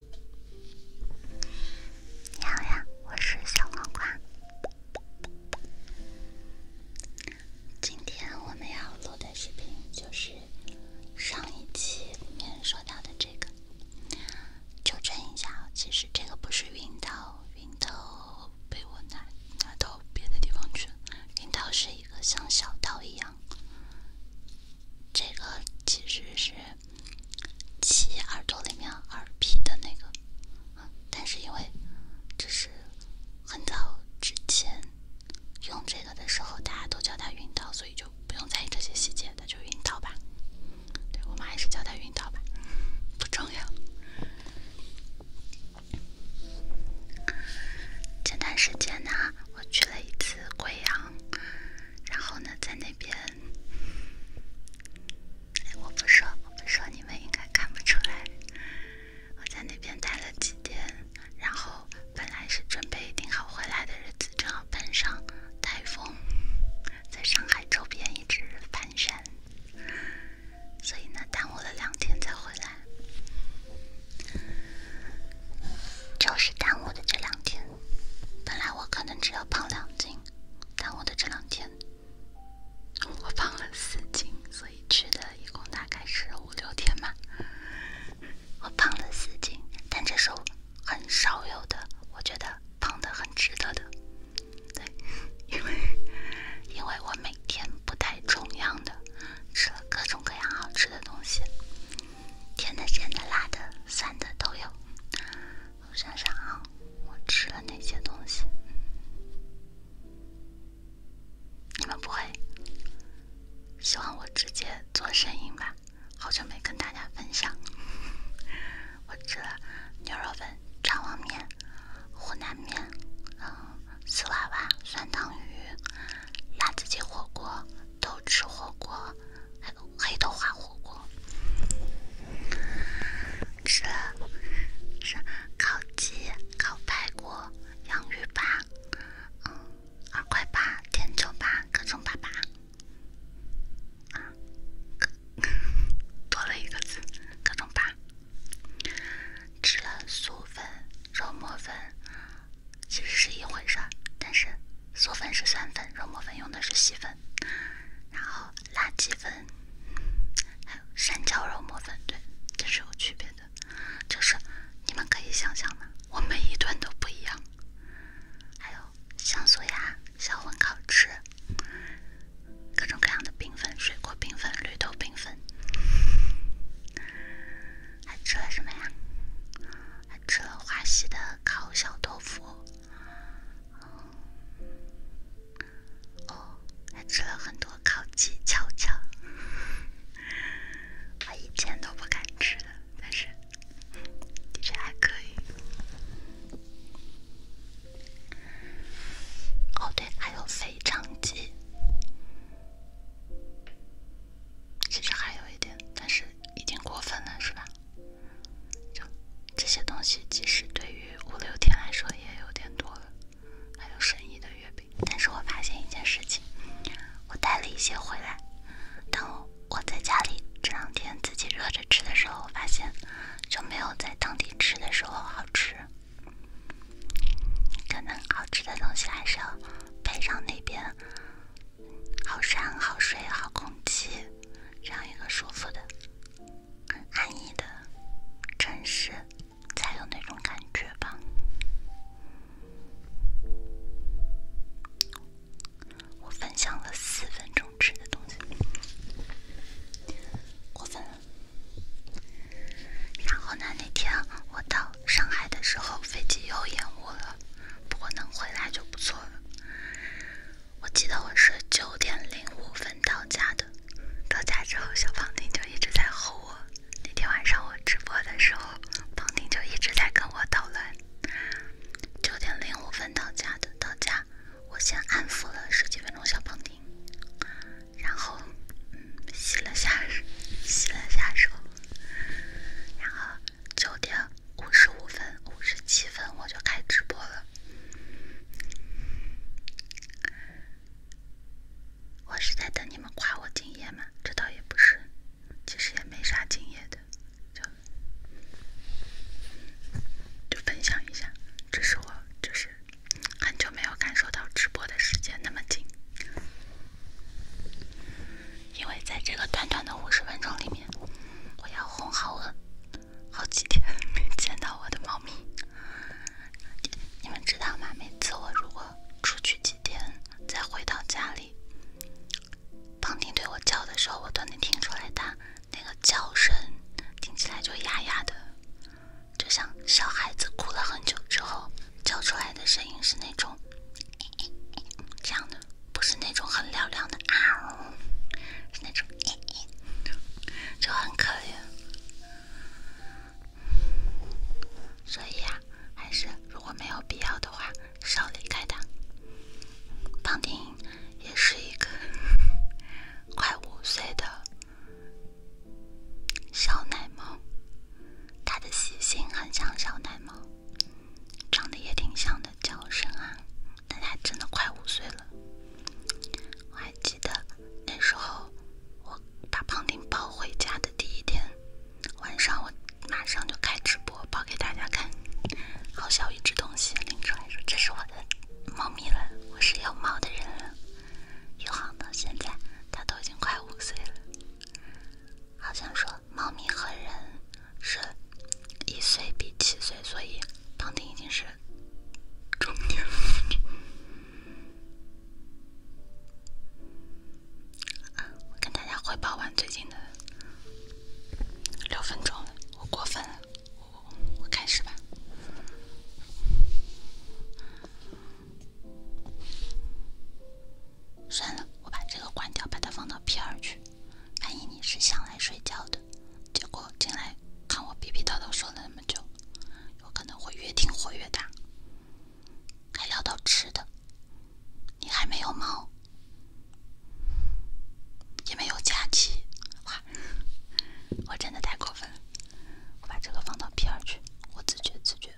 你好呀，我是小南瓜。今天我们要录的视频就是上一期里面说到的这个。纠正一下，其实这个不是云刀，云刀被我拿拿到别的地方去了。云是一个像小刀一样，这个其实是。起耳朵里面耳皮的那个，但是因为这是很早之前用这个的时候，大家都叫它晕倒，所以就不用在意这些细节，那就晕倒吧。对我们还是叫它晕倒吧，不重要。前段时间呢，我去了一次贵阳。然后呢，在那边，我不说，我不说，你们应该看不出来。我在那边待了几天，然后本来是准备定好回来的日子，正好碰上台风，在上海周边一直翻山，所以呢，耽误了两天才回来。就是耽误的这两天，本来我可能只有胖两斤，耽误的这两天，我胖了四斤，所以去的一共大概是五六天嘛。我胖了四斤，但这是很少有的，我觉得胖的很值得的，对，因为因为我每天不太重样的，吃了各种各样好吃的东西。甜的、咸的、辣的、酸的都有。我想想啊，我吃了哪些东西？你们不会希望我直接做声音吧？好久没跟大家分享。我吃了牛肉粉、肠旺面、湖南面，嗯，丝娃娃、酸汤鱼、辣子鸡火锅、豆豉火锅。黑豆花火锅，吃了吃烤鸡、烤排骨、洋芋粑，嗯，二块八、点九八，各种粑粑，啊，多了一个字，各种粑。吃了素粉、肉沫粉。其实是一回事儿，但是嗦粉是酸粉，肉沫粉用的是细粉，然后辣鸡粉，还有山椒肉沫粉，对，这是有区别的。就是你们可以想象的，我每一顿都不一样。还有香酥鸭、小碗烤翅，各种各样的冰粉，水果冰粉、绿豆冰粉。还吃了什么呀？还吃了华西的。烤小豆腐，哦，还吃了很多烤鸡、烤肠，我以前都不敢吃的，但是的确还可以。哦，对，还有肥肠鸡。其实还有一点，但是已经过分了，是吧？就这些东西，其实对于五六天来说也有点多了。还有神医的月饼，但是我发现一件事情，我带了一些回来，当我在家里这两天自己热着吃的时候，我发现就没有在当地吃的时候好吃。可能好吃的东西还是要配上那边。好山好水好空气，这样一个舒服的、安逸的城市，才有那种感觉吧。我分享了四分钟吃的东西，过分了。然后呢？那天我到。上海的时候飞机又延误了，不过能回来就不错了。我记得我是九点零五分到家的，到家之后小胖丁就一直在吼我。那天晚上我直播的时候，胖丁就一直在跟我捣乱。九点零五分到家的，到家我先安抚了十几分钟小胖丁，然后嗯洗了下洗了下手，然后。九点五十五分、五十七分我就开直播了。我是在等你们夸我敬业吗？这倒也不是，其实也没啥敬业的，就就分享一下。这是我，就是很久没有感受到直播的时间那么紧。因为在这个短短的五十分钟里面，我要哄好我好几天没见到我的猫咪。你们知道吗？每次我如果出去几天再回到家里，胖丁对我叫的时候，我都能听出来它那个叫声听起来就哑哑的，就像小孩子哭了很久之后叫出来的声音是那种。这样的不是那种很亮亮的啊，是那种就很可怜。所以啊，还是如果没有必要的话，少离开它。方丁也是一个快五岁的小奶猫，它的习性很像小奶猫。长得也挺像的，叫声啊，但它真的快五岁了。我还记得那时候，我把胖丁抱回家的第一天晚上，我马上就开直播抱给大家看。好小一只东西，林川说这是我的猫咪了，我是有猫的人了。一晃到现在，它都已经快五岁了。好像说，猫咪和人是一岁比七岁，所以唐婷已经是 中年。我跟大家汇报完最近的六分钟了，我过分了，我我开始吧。算了，我把这个关掉，把它放到 P 二去。万一你是想来睡觉的，结果进来看我逼逼叨叨说了那么久，有可能会越听火越大，还聊到吃的。你还没有猫，也没有假期，哇！我真的太过分了，我把这个放到 P 二去，我自觉自觉。